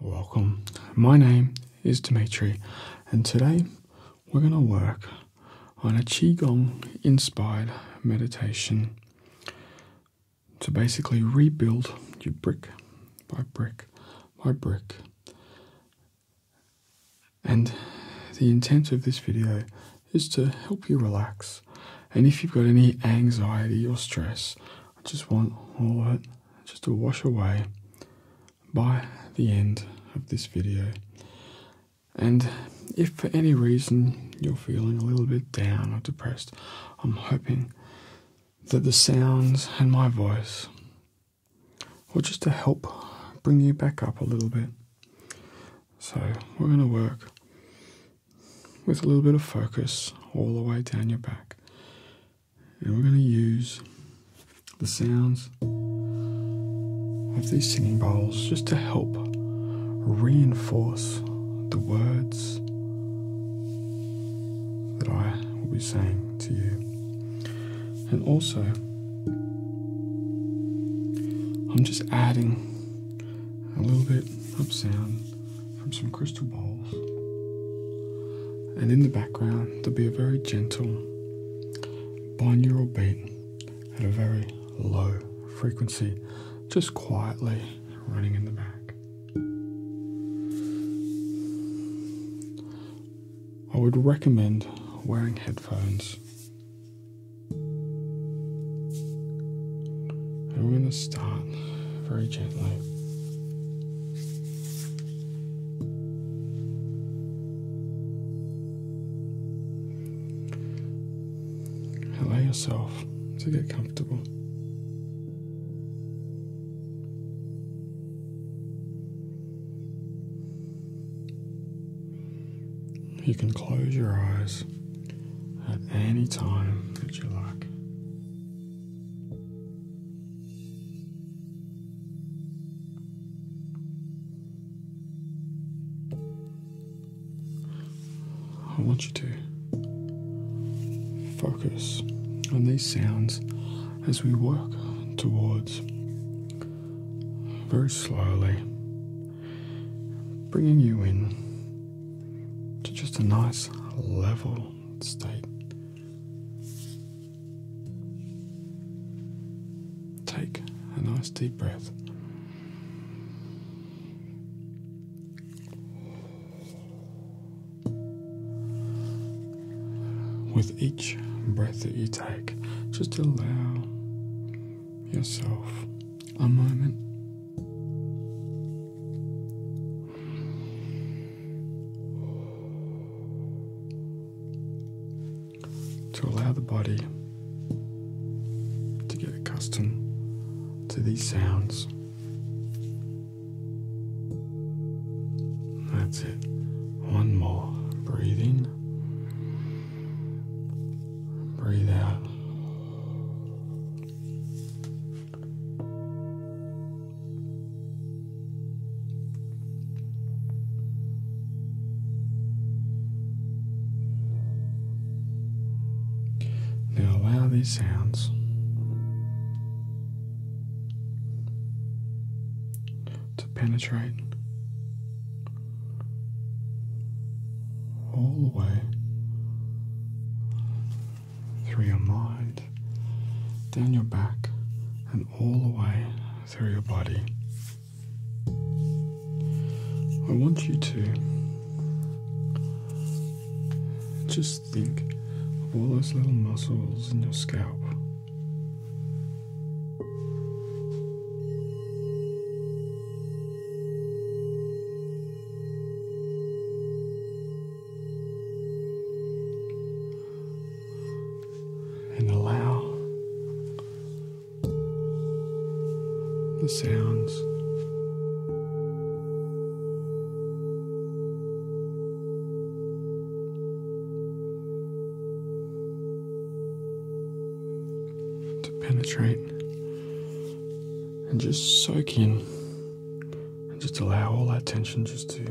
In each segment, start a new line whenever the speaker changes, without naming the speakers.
Welcome. My name is Dimitri, and today we're going to work on a Qigong inspired meditation to basically rebuild you brick by brick by brick. And the intent of this video is to help you relax. And if you've got any anxiety or stress, I just want all of just to wash away by the end of this video. And if for any reason you're feeling a little bit down or depressed, I'm hoping that the sounds and my voice will just to help bring you back up a little bit. So, we're going to work with a little bit of focus all the way down your back, and we're going to use the sounds of these singing bowls just to help reinforce the words that I will be saying to you. And also, I'm just adding a little bit of sound from some crystal bowls. And in the background, there'll be a very gentle binaural beat at a very low frequency, just quietly running in the back. I would recommend wearing headphones. And we're going to start very gently. Allow yourself to get comfortable. You can close your eyes at any time that you like. I want you to focus on these sounds as we work towards very slowly bringing you in to just a nice level state Take a nice deep breath. With each breath that you take, just allow yourself a moment to allow the body to get accustomed to these sounds. That's it. One more. breathing. Breathe out. Now allow these sounds to penetrate all the way through your mind, down your back, and all the way through your body. I want you to just think of all those little muscles in your scalp and allow the sounds to penetrate and just soak in and just allow all that tension just to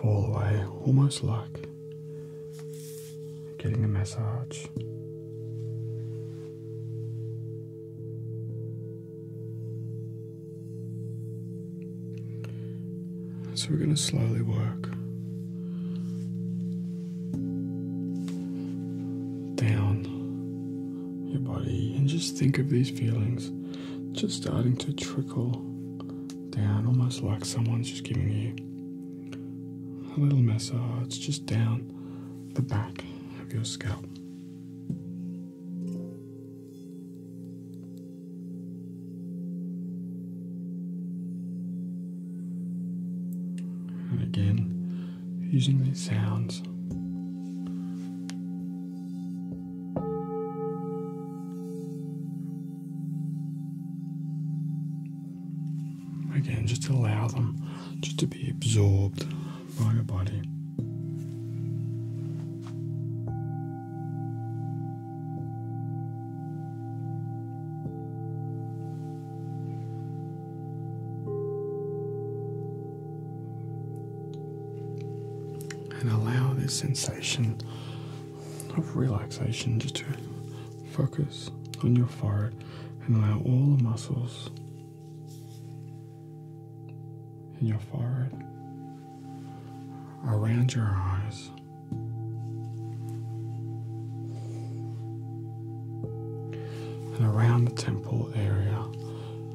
fall away, almost like getting a massage. So we're going to slowly work down your body and just think of these feelings just starting to trickle down, almost like someone's just giving you a little massage just down the back of your scalp. And again, using these sounds Again, just allow them just to be absorbed by your body and allow this sensation of relaxation just to focus on your forehead and allow all the muscles in your forehead around your eyes and around the temple area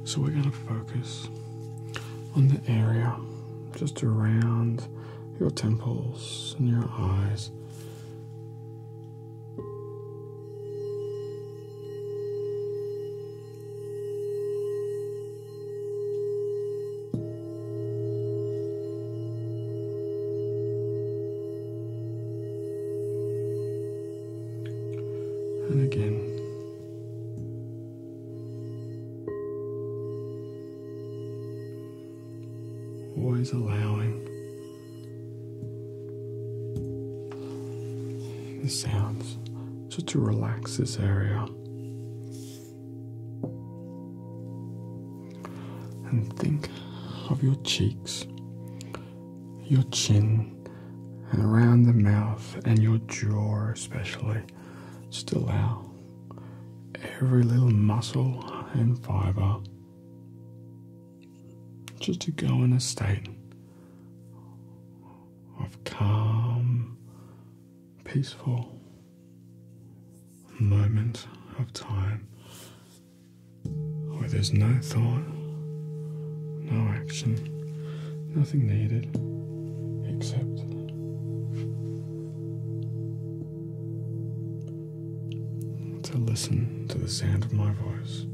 so we're going to focus on the area just around your temples and your eyes. And again, Always allowing the sounds just to relax this area. And think of your cheeks, your chin, and around the mouth and your jaw, especially. Just allow every little muscle and fiber just to go in a state of calm, peaceful moment of time where there's no thought, no action, Nothing needed except to listen to the sound of my voice.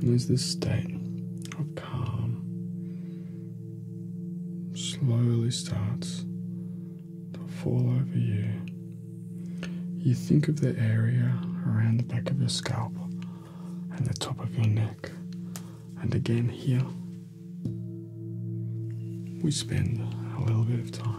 And as this state of calm slowly starts that fall over you. You think of the area around the back of your scalp and the top of your neck, and again here. We spend a little bit of time.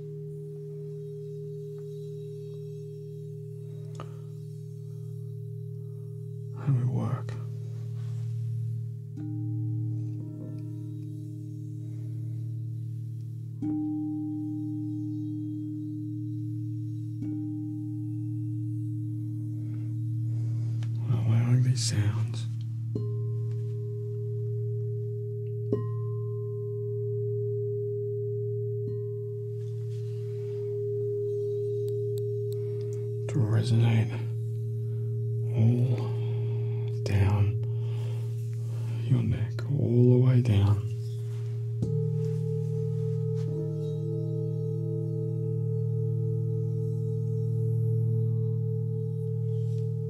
How we work. Allowing these sounds to resonate all down your neck, all the way down.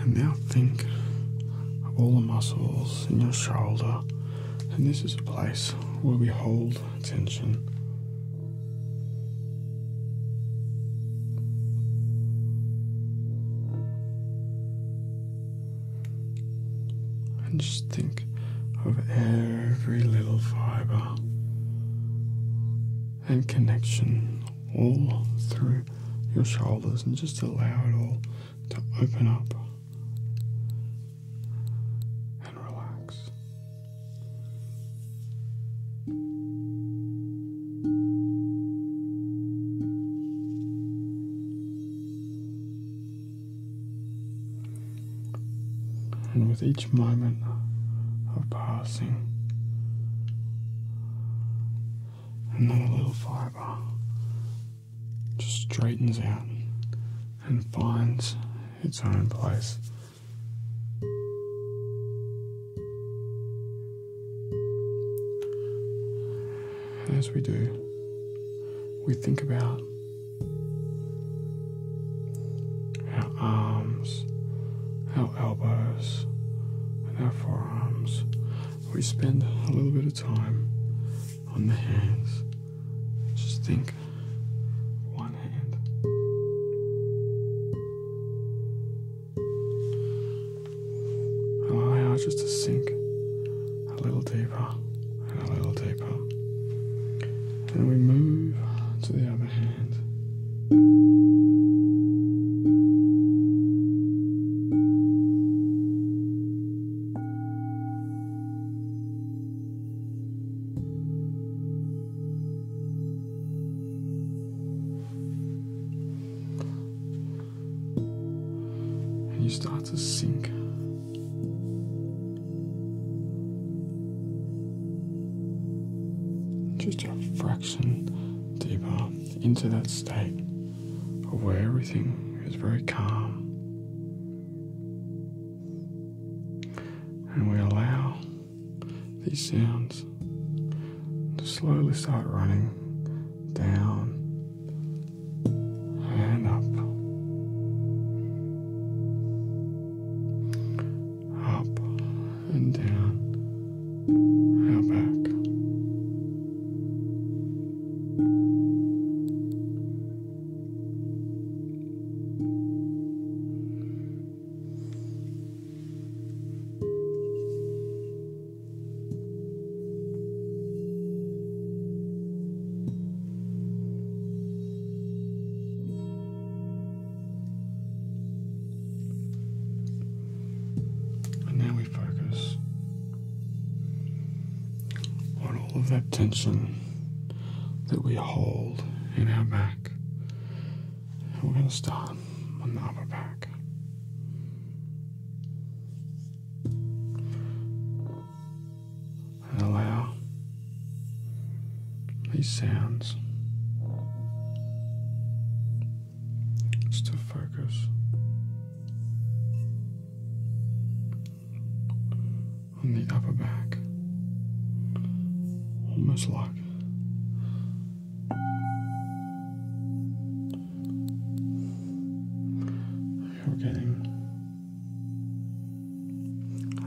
And now think of all the muscles in your shoulder, and this is a place where we hold tension. And just think of every little fiber and connection all through your shoulders and just allow it all to open up and relax. And with each moment of passing, and another little fiber just straightens out and finds its own place. as we do, we think about our arms, our elbows and our forearms. We spend a little bit of time on the hands. Just think
one hand.
Allow ours just to sink a little deeper and a little deeper. Then we move to the other hand you start to sink. Just a fraction deeper into that state of where everything is very calm. And we allow these sounds to slowly start running down and up, up and down and back. And now we focus on all of that tension that we hold in our back. And we're going to start on the upper back. And allow these sounds it's to focus on the upper back, almost like you're getting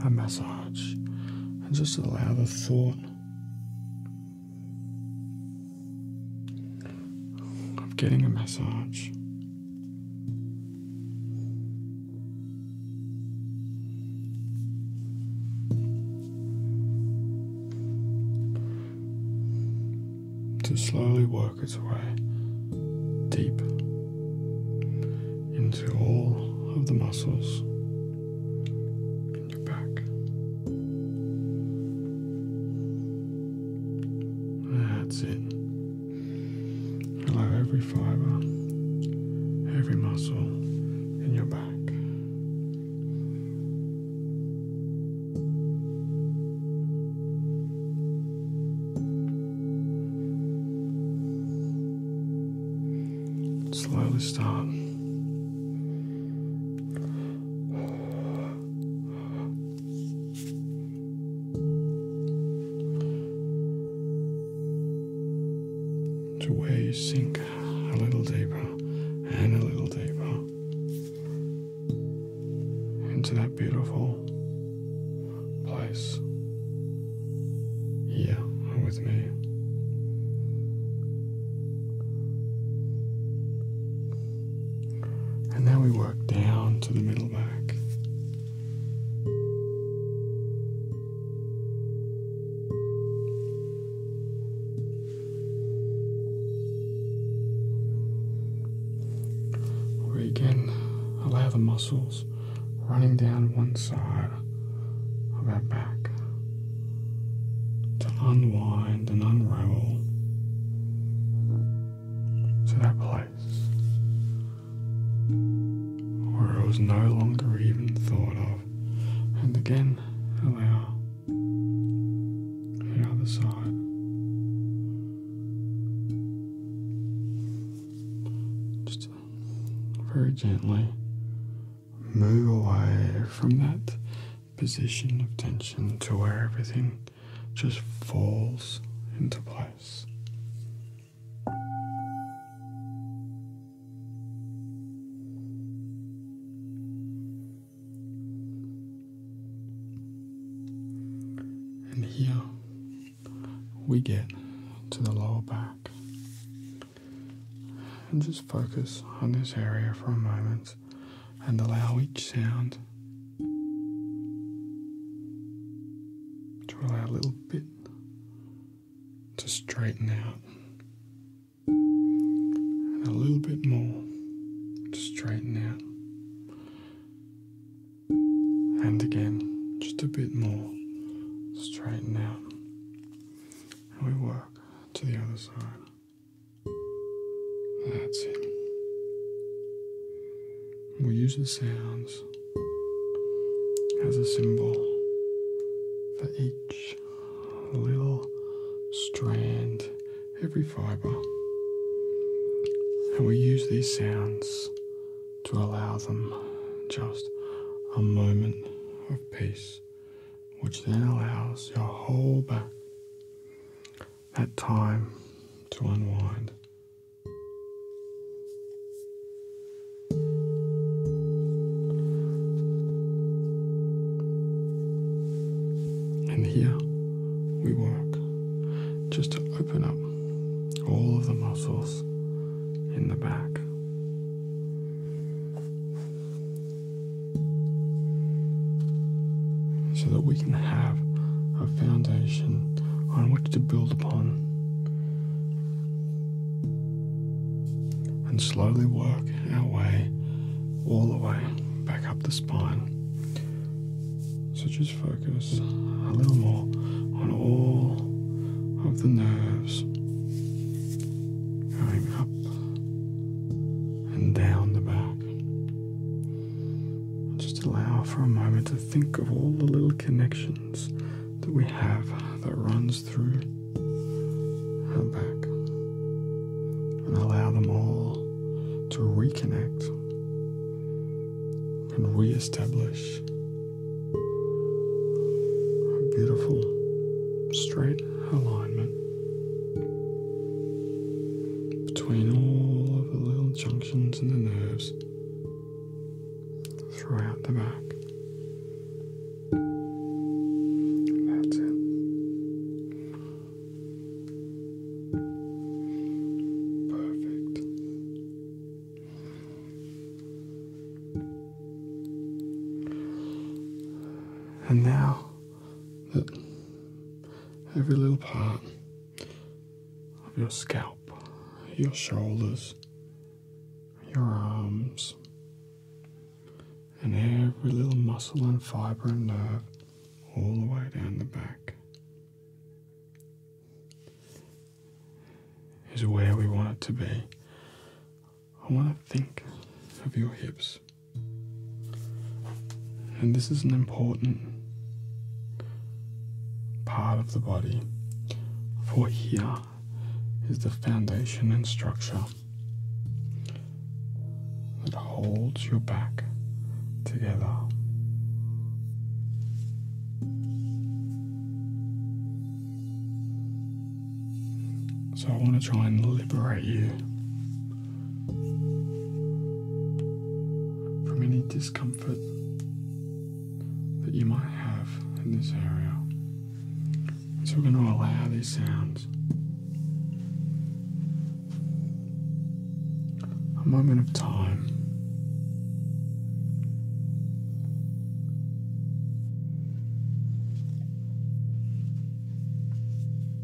a massage, and just allow the thought I'm getting a massage. To slowly work its way deep into all of the muscles your back. That's it. Allow every fiber, every muscle in your back. Slowly stop to where you sink a little deeper and a little deeper into that beautiful place here with me. And now we work down to the middle back. Where again allow the muscles running down one side of that back to unwind and unravel to that place where it was no longer even thought of. And again, allow the other side. Just very gently move away from that position of tension to where everything just falls into place. And here we get to the lower back. And just focus on this area for a moment and allow each sound to allow a little bit to straighten out and a little bit more to straighten out and again just a bit more straighten out and we work to the other side that's it. we use the sounds as a symbol for each little strand, every fiber. And we use these sounds to allow them just a moment of peace, which then allows your whole back that time to unwind. And here we work just to open up all of the muscles in the back so that we can have a foundation on which to build upon and slowly work our way all the way back up the spine. So just focus a little more on all of the nerves going up and down the back. Just allow for a moment to think of all the little connections that we have that runs through her back and allow them all to reconnect and re-establish a beautiful straight alignment between all of the little junctions and the nerves throughout the back. That's it. Perfect. And now every little part of your scalp, your shoulders, your arms, and every little muscle and fiber and nerve all the way down the back is where we want it to be. I want to think of your hips. And this is an important part of the body, for here is the foundation and structure that holds your back together. So, I want to try and liberate you from any discomfort that you might have in this area. So we're going to allow these sounds a moment of time.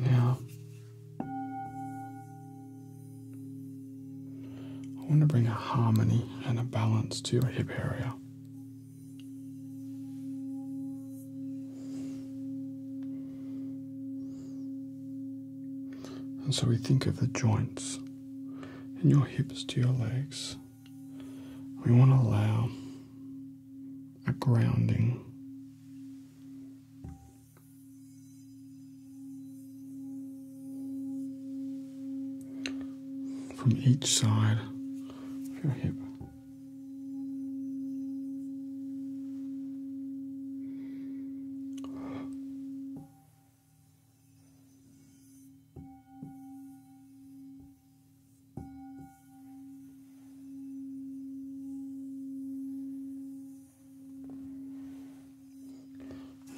Now, I want to bring a harmony and a balance to your hip area. And so we think of the joints in your hips to your legs. We want to allow a grounding.
From each side of your hip.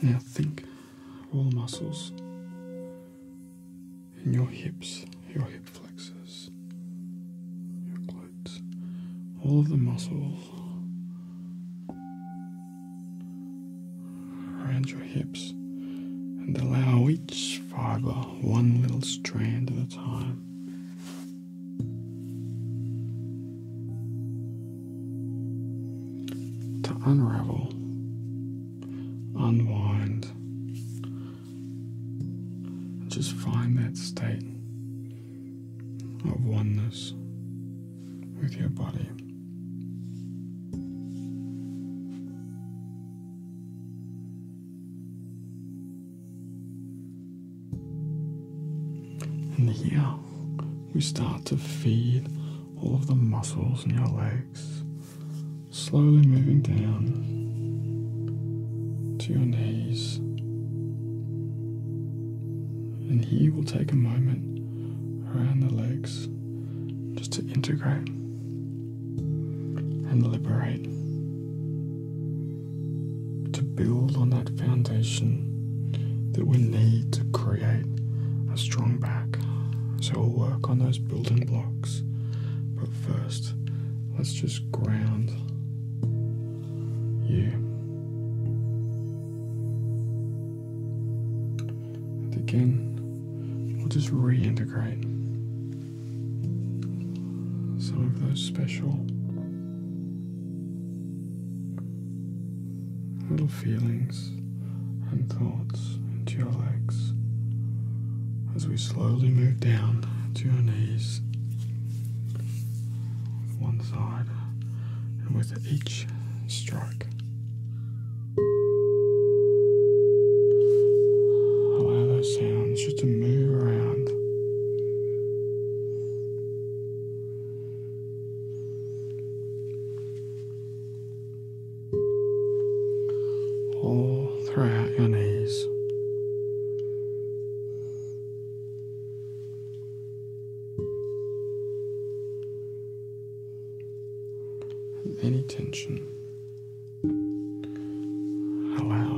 Yeah, think all muscles in your hips, your hips flexes, your glutes, all of the muscles around your hips, and allow each fiber one little strand at a time. To unravel, unwind, just find that state of oneness with your body. And here we start to feed all of the muscles in your legs, slowly moving down to your knees. And he will take a moment around the legs just to integrate and liberate. To build on that foundation that we need to create a strong back. So we'll work on those building blocks. But first, let's just ground you. And again, we'll just reintegrate some of those special little feelings and thoughts into your legs as we slowly move down to your knees one side and with each stroke allow those sounds just to move around all throughout your knees any tension allow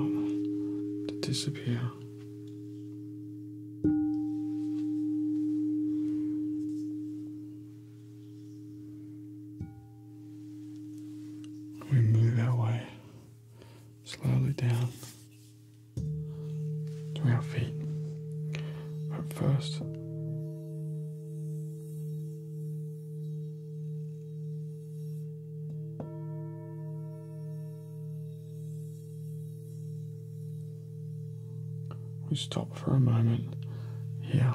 to disappear. We move that way slowly down to our feet. But first, we stop for a moment here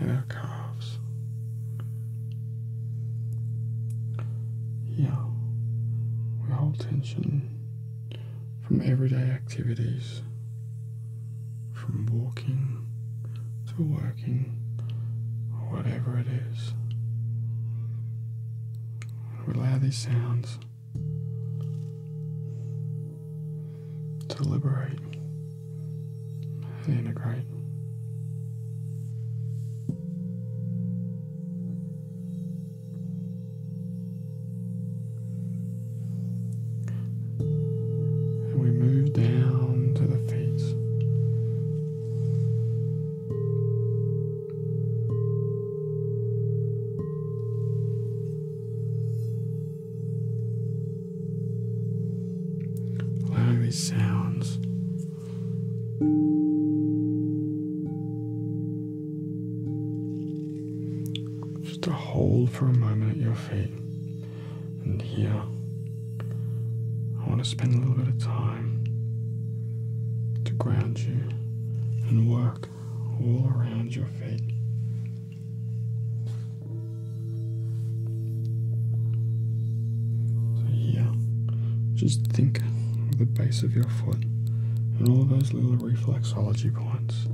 at our calf. Yeah, we hold tension from everyday activities, from walking to working, or whatever it is. We allow these sounds to liberate and integrate. And we move down to the feet. Allowing these sounds just to hold for a moment at your feet. And here, I want to spend a little bit of time to ground you and work all around your feet. So yeah, just think of the base of your foot and all those little reflexology points.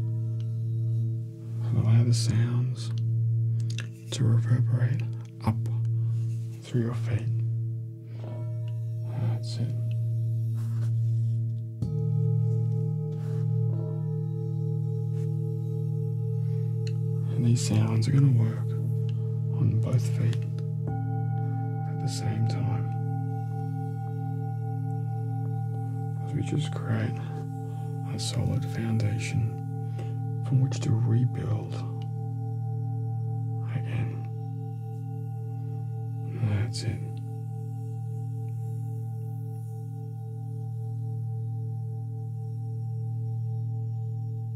Allow the sounds to reverberate up through your feet. That's it. And these sounds are going to work on both feet at the same time, we just create a solid foundation from which to rebuild again. That's it.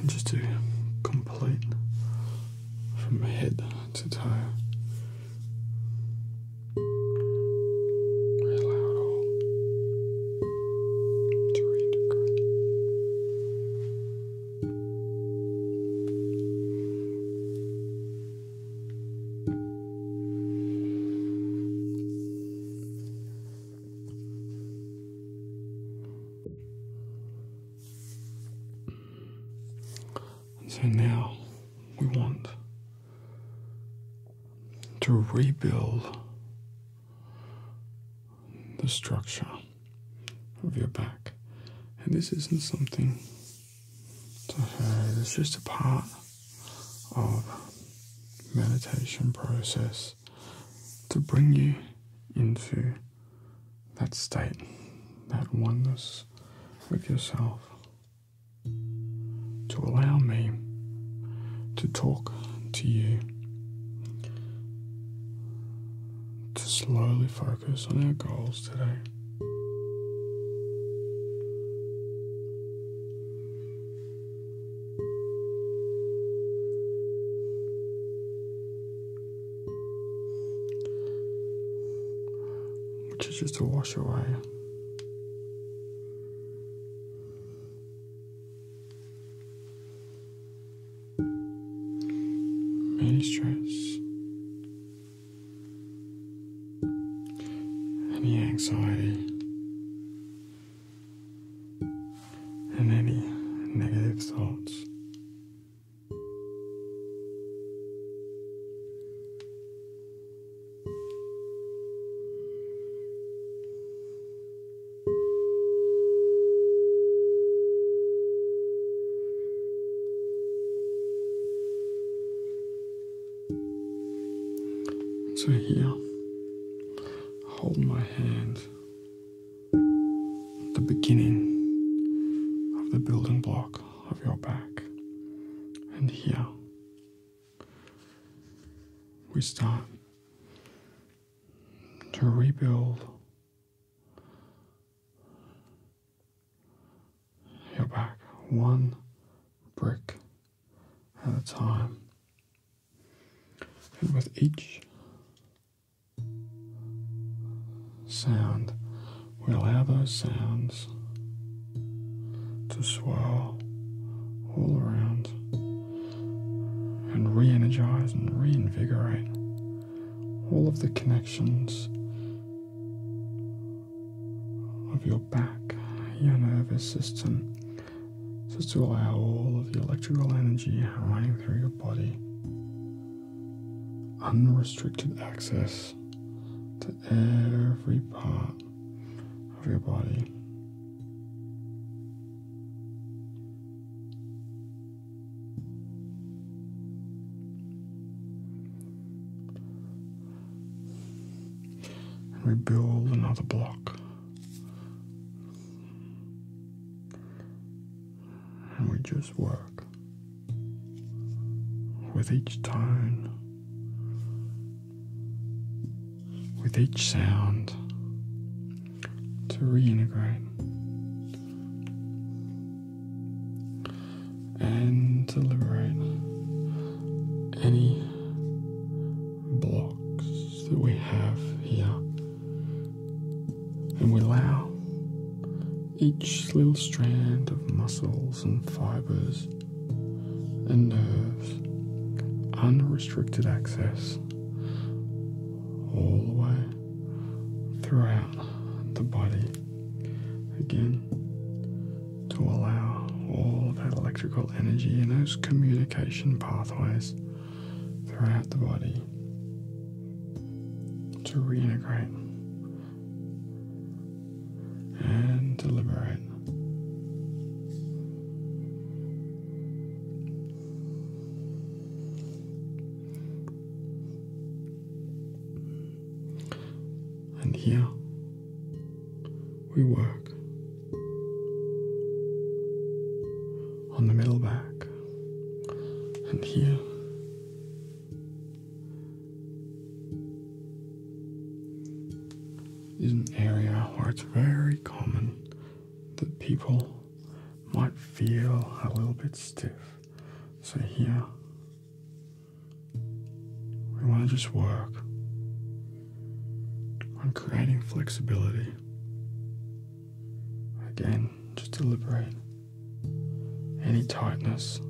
And just to complete from head to toe. Allow it all to so now we want to rebuild the structure of your back. And this isn't something it's just a part of meditation process to bring you into that state, that oneness with yourself, to allow me to talk to you, to slowly focus focus on our goals today. Which is just to wash away many stress any anxiety, and any negative thoughts. So here, hold my hand the beginning of the building block of your back. And here, we start to rebuild your back one brick at a time. And with each sound, we allow those sounds to swirl all around and re energize and reinvigorate all of the connections of your back, your nervous system, just to allow all of the electrical energy running through your body unrestricted access to every part of your body and we build another block. And we just work with each tone, with each sound to reintegrate and to liberate any blocks that we have here. And we allow each little strand of muscles and fibers and nerves unrestricted access all the way throughout the body. Again, to allow all that electrical energy and those communication pathways throughout the body to reintegrate and to liberate. And here we work on the middle back and here. Is an area where it's very common that people might feel a little bit stiff. So, here we want to just work on creating flexibility. Again, just to liberate any tightness,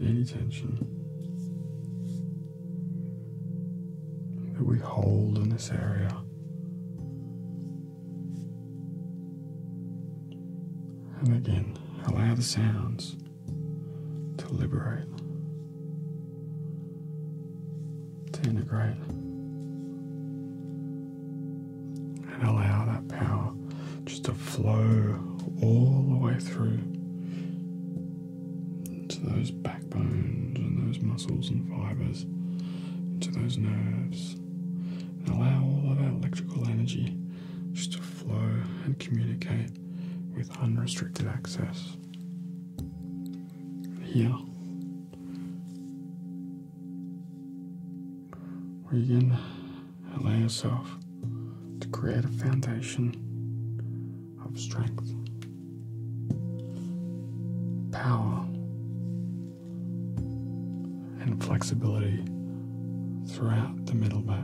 any tension that we hold in this area and again, allow the sounds to liberate, to integrate, and allow that power just to flow all the way through into those backbones and those muscles and fibers, into those nerves, allow all of our electrical energy just to flow and communicate with unrestricted access. Here, we to allow yourself to create a foundation of strength, power, and flexibility throughout the middle back.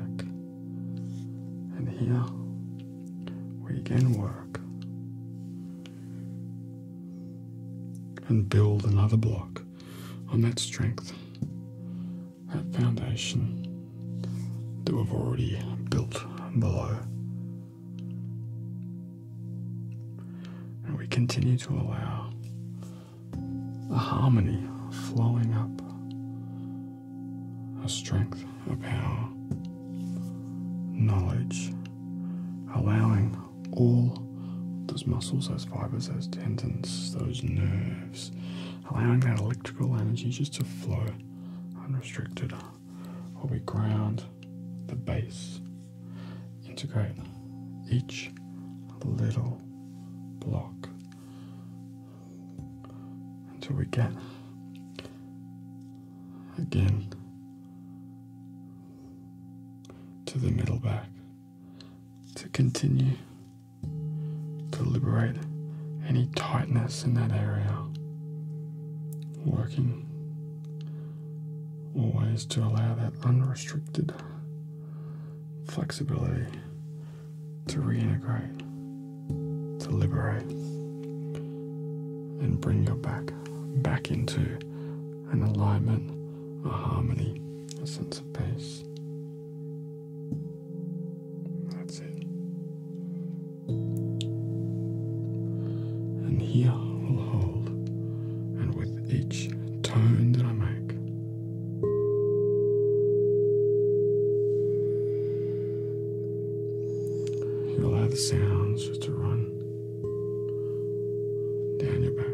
And here we again work and build another block on that strength, that foundation that we've already built below. And we continue to allow a harmony flowing up, a strength, a power, knowledge, allowing all those muscles, those fibers, those tendons, those nerves, allowing that electrical energy just to flow unrestricted while we ground the base, integrate each little block until we get again to the middle back to continue to liberate any tightness in that area working always to allow that unrestricted flexibility, to reintegrate, to liberate, and bring your back back into an alignment, a harmony, a sense of peace. That's it.
And here I'll hold, and
with each tone that I make, You'll have the sounds just to run down your back.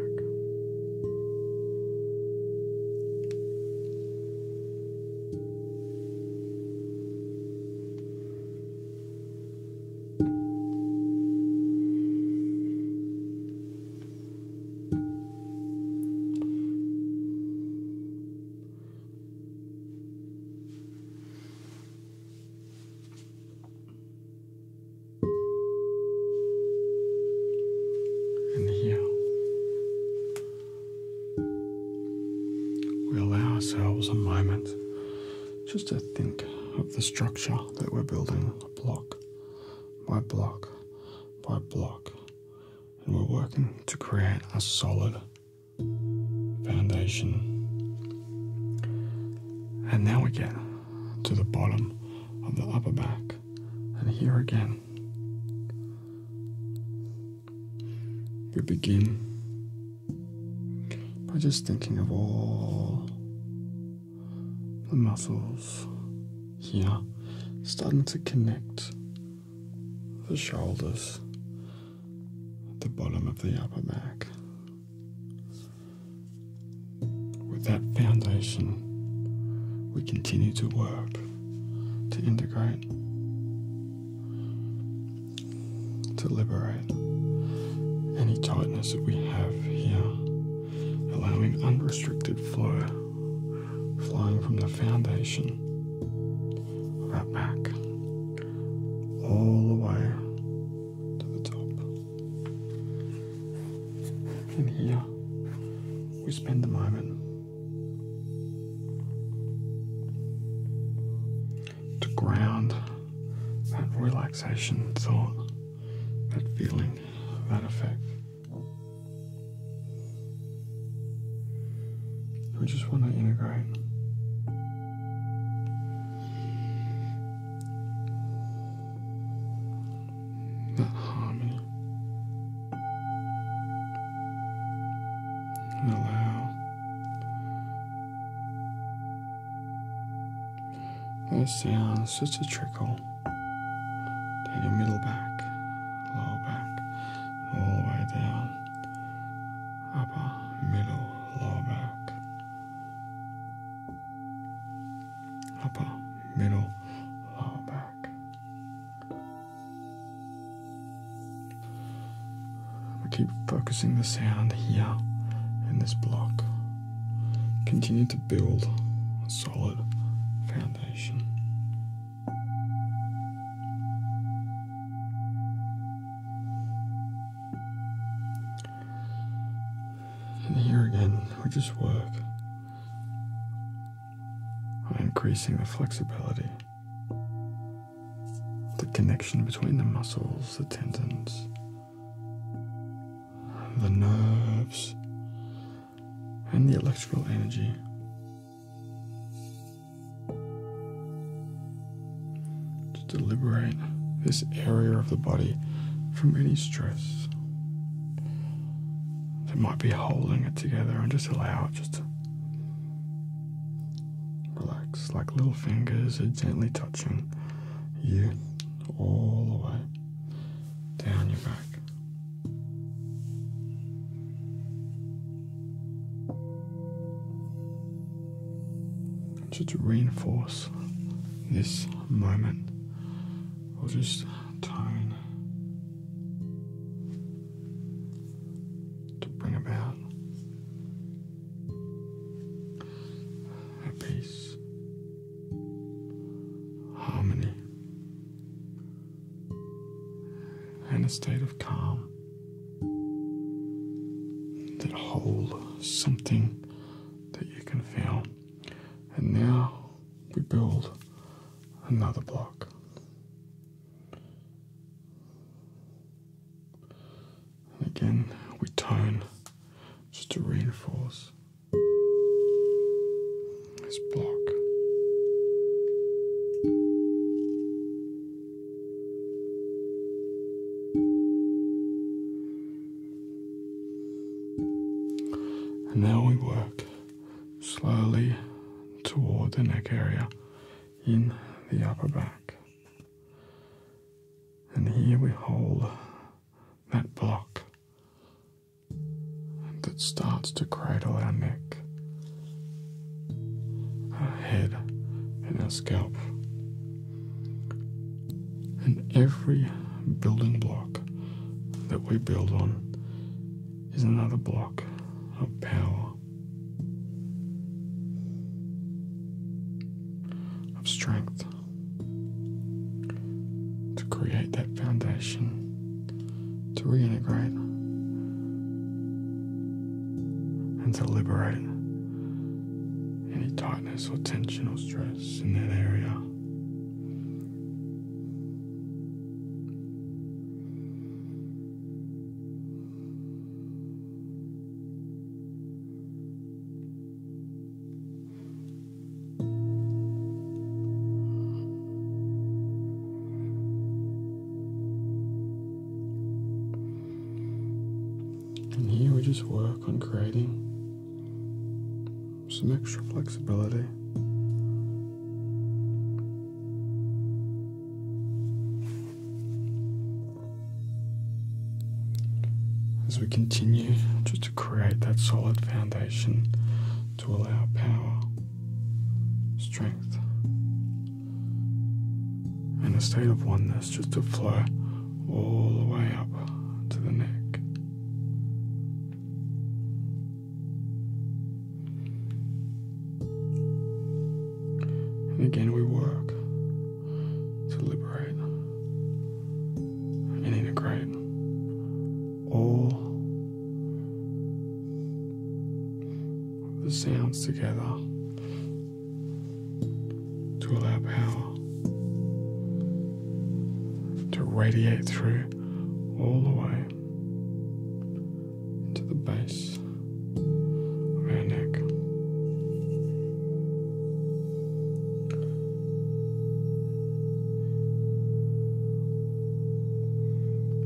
And here we allow ourselves a moment just to think of the structure that we're building block my block by block, and we're working to create a solid foundation. And now we get to the bottom of the upper back, and here again, we begin by just thinking of all the muscles here starting to connect the shoulders the bottom of the upper back. With that foundation, we continue to work to integrate, to liberate any tightness that we have here, allowing unrestricted flow flowing from the foundation of our back all the way to the top. And here we spend the moment to ground that relaxation thought, that feeling, that effect. We just want to integrate. That harmony.
And allow
those sounds just a trickle middle. Down middle back, lower back, all the way down. Upper, middle,
lower back. Upper,
middle, lower back. I keep focusing the sound here in this block. Continue to build a solid foundation. And here again, we just work on increasing the flexibility, the connection between the muscles, the tendons, the nerves, and the electrical energy. To liberate this area of the body from any stress that might be holding it together and just allow it just to relax like little fingers are gently touching you all the way down your back. So to reinforce this moment, we'll just tone to bring about peace, harmony, and a state of calm that hold something that you can feel. And now we build another block. And again, we tone just to reinforce let block. And now we work slowly toward the neck area in the upper back. And here we hold that block that starts to cradle our neck, our head, and our scalp. And every building block that we build on is another block of power, of strength to create that foundation to reintegrate, and to liberate any tightness or tension or stress in that area. And here we just work on creating some extra flexibility. As we continue just to create that solid foundation to allow power strength, and a state of oneness just to flow all the way up to the neck. And again, we work to liberate and integrate all the sounds together to allow power to radiate through all the way into the base of our neck.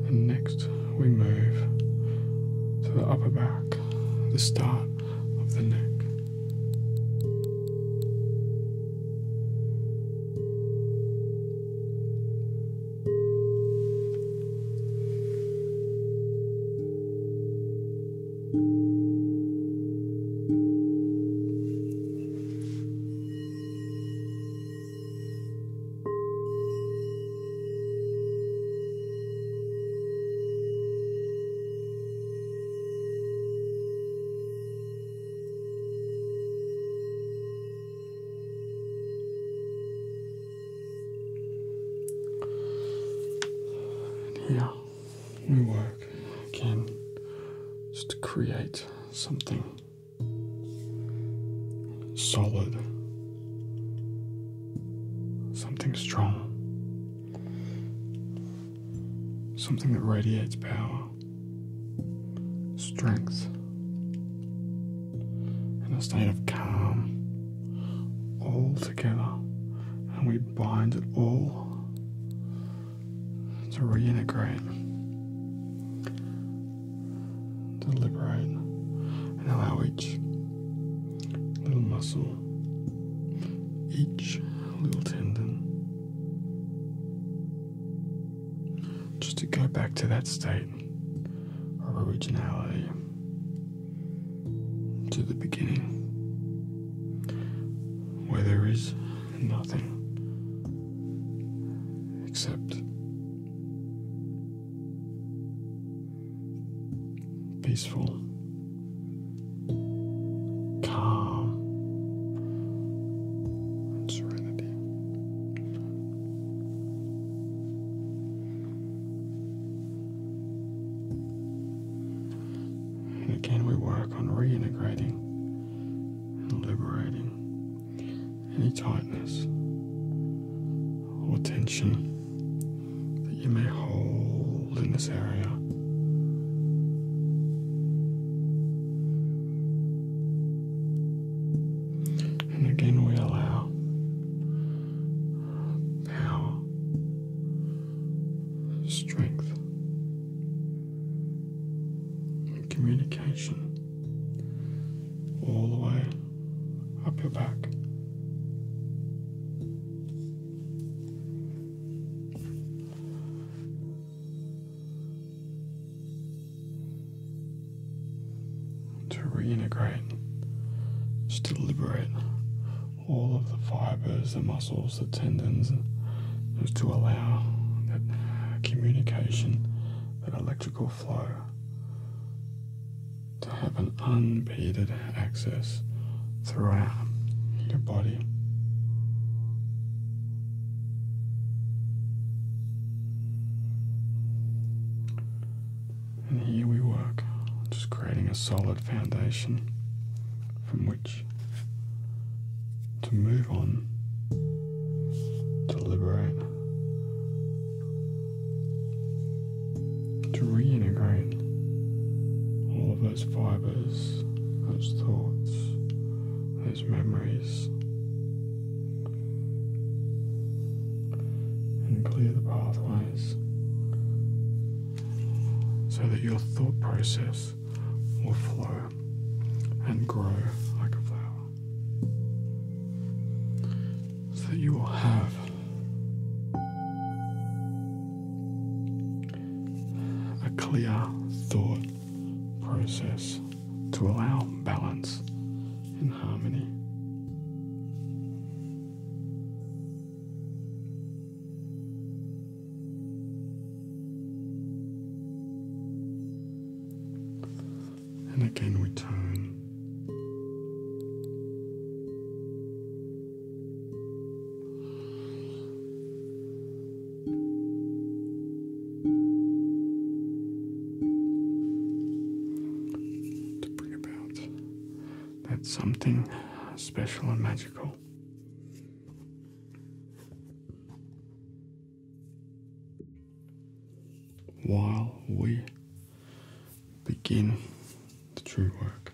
And next, we move to the upper back, the start of the neck. Yeah, we work again just to create something solid, something strong, something that radiates power, strength, and a state of calm all together, and we bind it all to reintegrate to liberate and allow each little muscle, each little tendon, just to go back to that state of originality to the beginning where there is nothing except peaceful, calm, and serenity. And again, we work on reintegrating and liberating any tightness or tension that you may hold in this area.
And again, we allow
power, strength, and communication all the way up your back. To re-integrate, to liberate all of the fibers, the muscles, the tendons, just to allow that communication, that electrical flow, to have an unimpeded access throughout your body. And here we work, just creating a solid foundation from which to move on to liberate, to reintegrate all of those fibers, those thoughts, those memories, and clear the pathways so that your thought process will flow and grow like a flower that you will have. A clear thought process to allow balance and harmony and again we turn. To bring about that something special and magical while we begin the true work.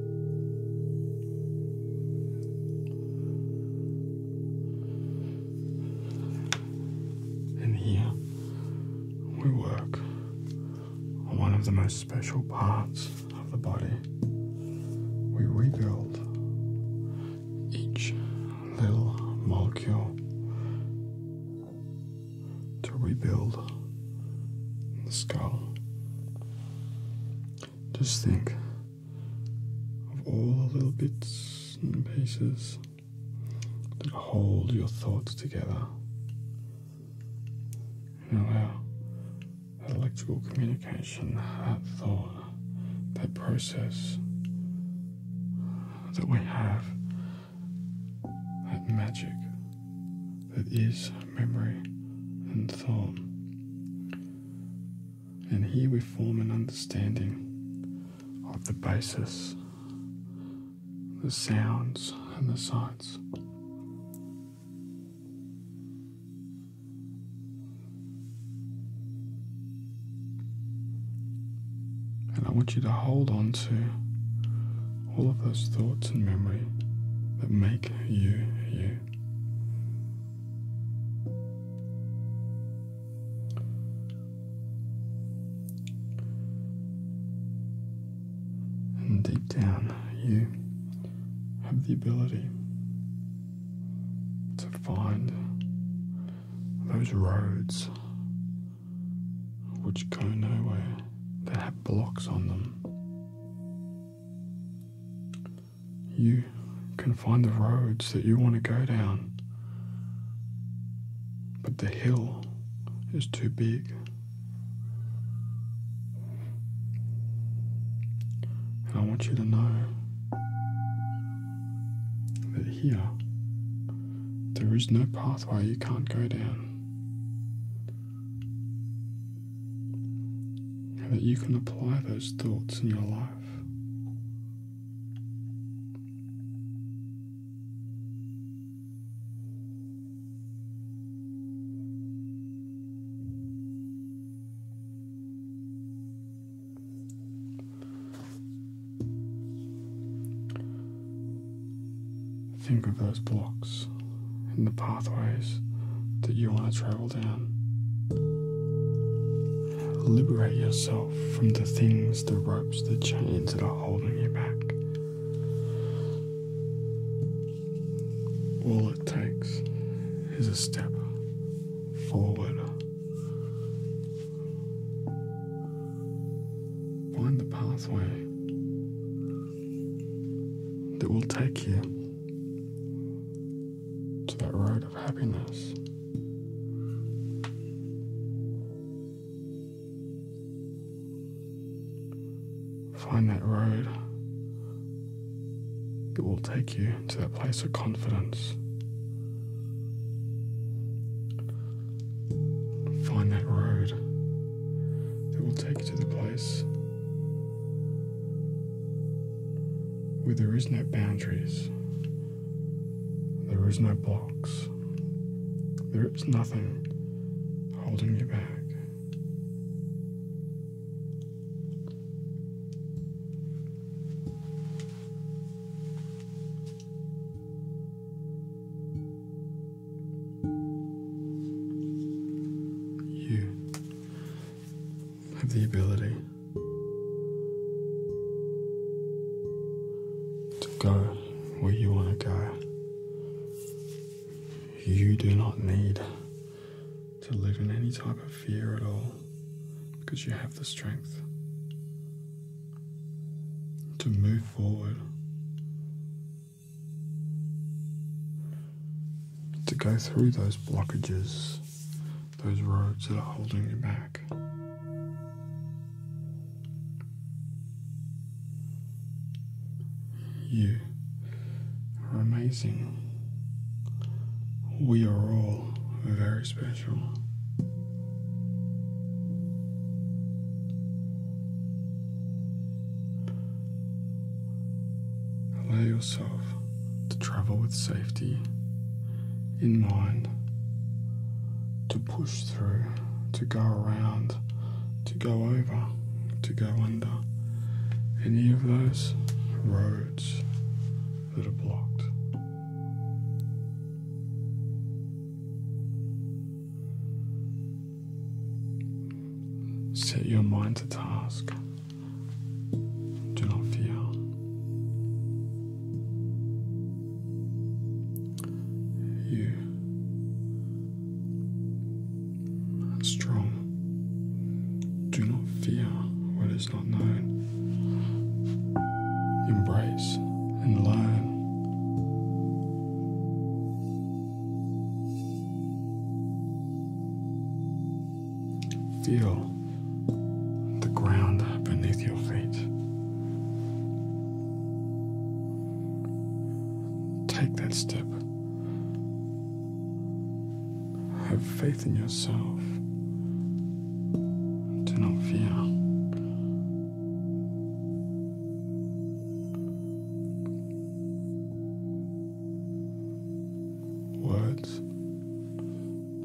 And here we work on one of the most special parts of the body. We rebuild each little molecule to rebuild the skull. Just think of all the little bits and pieces that hold your thoughts together and allow that electrical communication, that thought, that process that we have, that magic that is memory and thought. And here we form an understanding of the basis, the sounds, and the sights. And I want you to hold on to all of those thoughts and memory that make you you. And deep down, you have the ability to find those roads which go nowhere, that have blocks on them. You can find the roads that you want to go down, but the hill is too big. And I want you to know that here there is no pathway you can't go down how that you can apply those thoughts in your life. Think of those blocks. In the pathways that you want to travel down. Liberate yourself from the things, the ropes, the chains that are holding you back. All it takes is a step forward. Find the pathway that will take you to that road of happiness. Find that road that will take you to that place of confidence. Find that road that will take you to the place where there is no boundaries, there is no blocks, there is nothing holding you back. You have the ability to go where you want to go. You do not need to live in any type of fear at all because you have the strength to move forward to go through those blockages, those roads that are holding you back. You are amazing. We are all very special. Allow yourself to travel with safety in mind, to push through, to go around, to go over, to go under any of those roads that are blocked. Set your mind to task de l'enfer. You are strong. Do not fear what is not known. Embrace and learn. Feel the ground beneath your feet. Take that step. Have faith in yourself. Do not fear. Words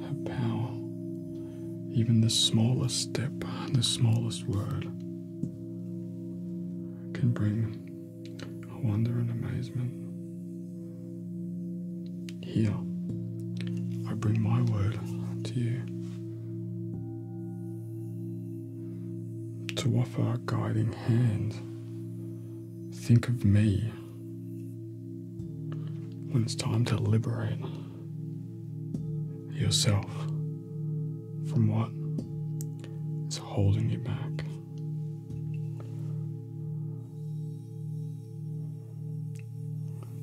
have power. Even the smallest step, and the smallest word can bring wonder and amazement. Here, I bring my word to you to offer a guiding hand Think of me when it's time to liberate yourself from what is holding you back.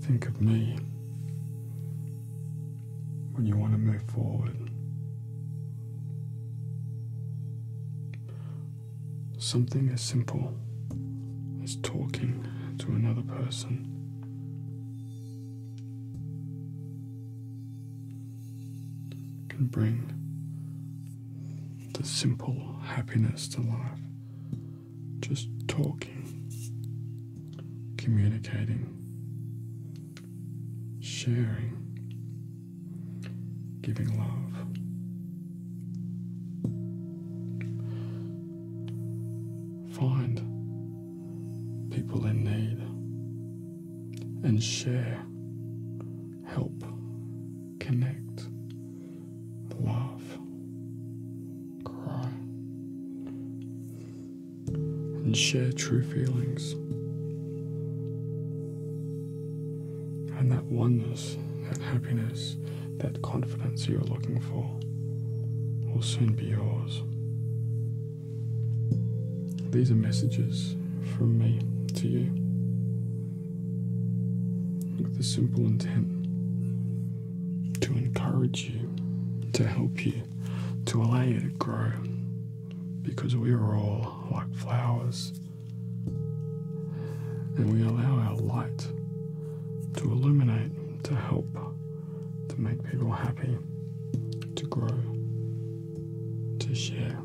Think of me when you want to move forward. Something as simple as talking to another person. Can bring the simple happiness to life. Just talking, communicating, sharing giving love. Find people in need and share, help, connect, love, cry, and share true feelings and that oneness, that happiness, that confidence you're looking for will soon be yours. These are messages from me to you with the simple intent to encourage you, to help you, to allow you to grow because we are all like flowers and we allow our light to illuminate, to help, to make people happy, to grow, to share,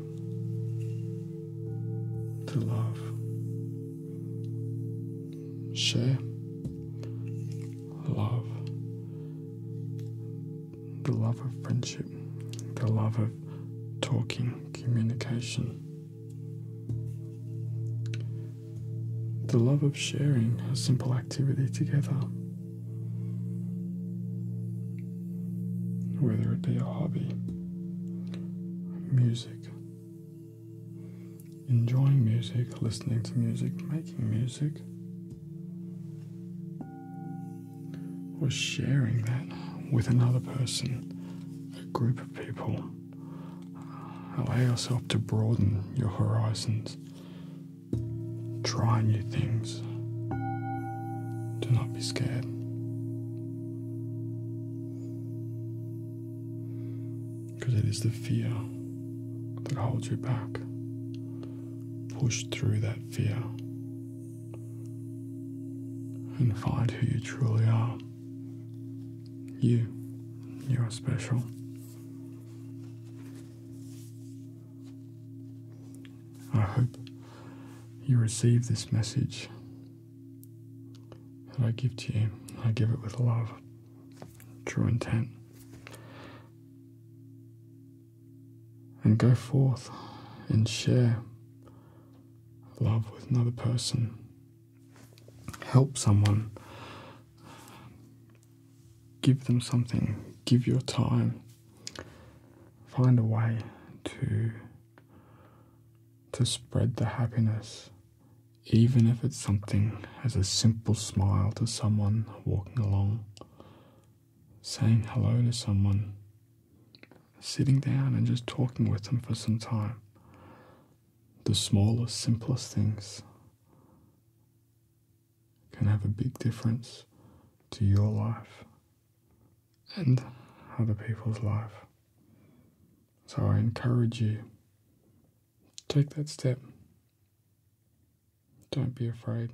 to love. Share, love, the love of friendship, the love of talking, communication. The love of sharing a simple activity together, whether it be a hobby, music, enjoying music, listening to music, making music, or sharing that with another person a group of people. Allow yourself to broaden your horizons. Try new things. Do not be scared. Because it is the fear that holds you back. Push through that fear and find who you truly are. You, you are special. I hope you receive this message that I give to you. I give it with love, true intent. And go forth and share love with another person, help someone, give them something, give your time, find a way to to spread the happiness, even if it's something as a simple smile to someone walking along, saying hello to someone, sitting down and just talking with them for some time. The smallest, simplest things can have a big difference to your life and other people's life. So I encourage you take that step. Don't be afraid.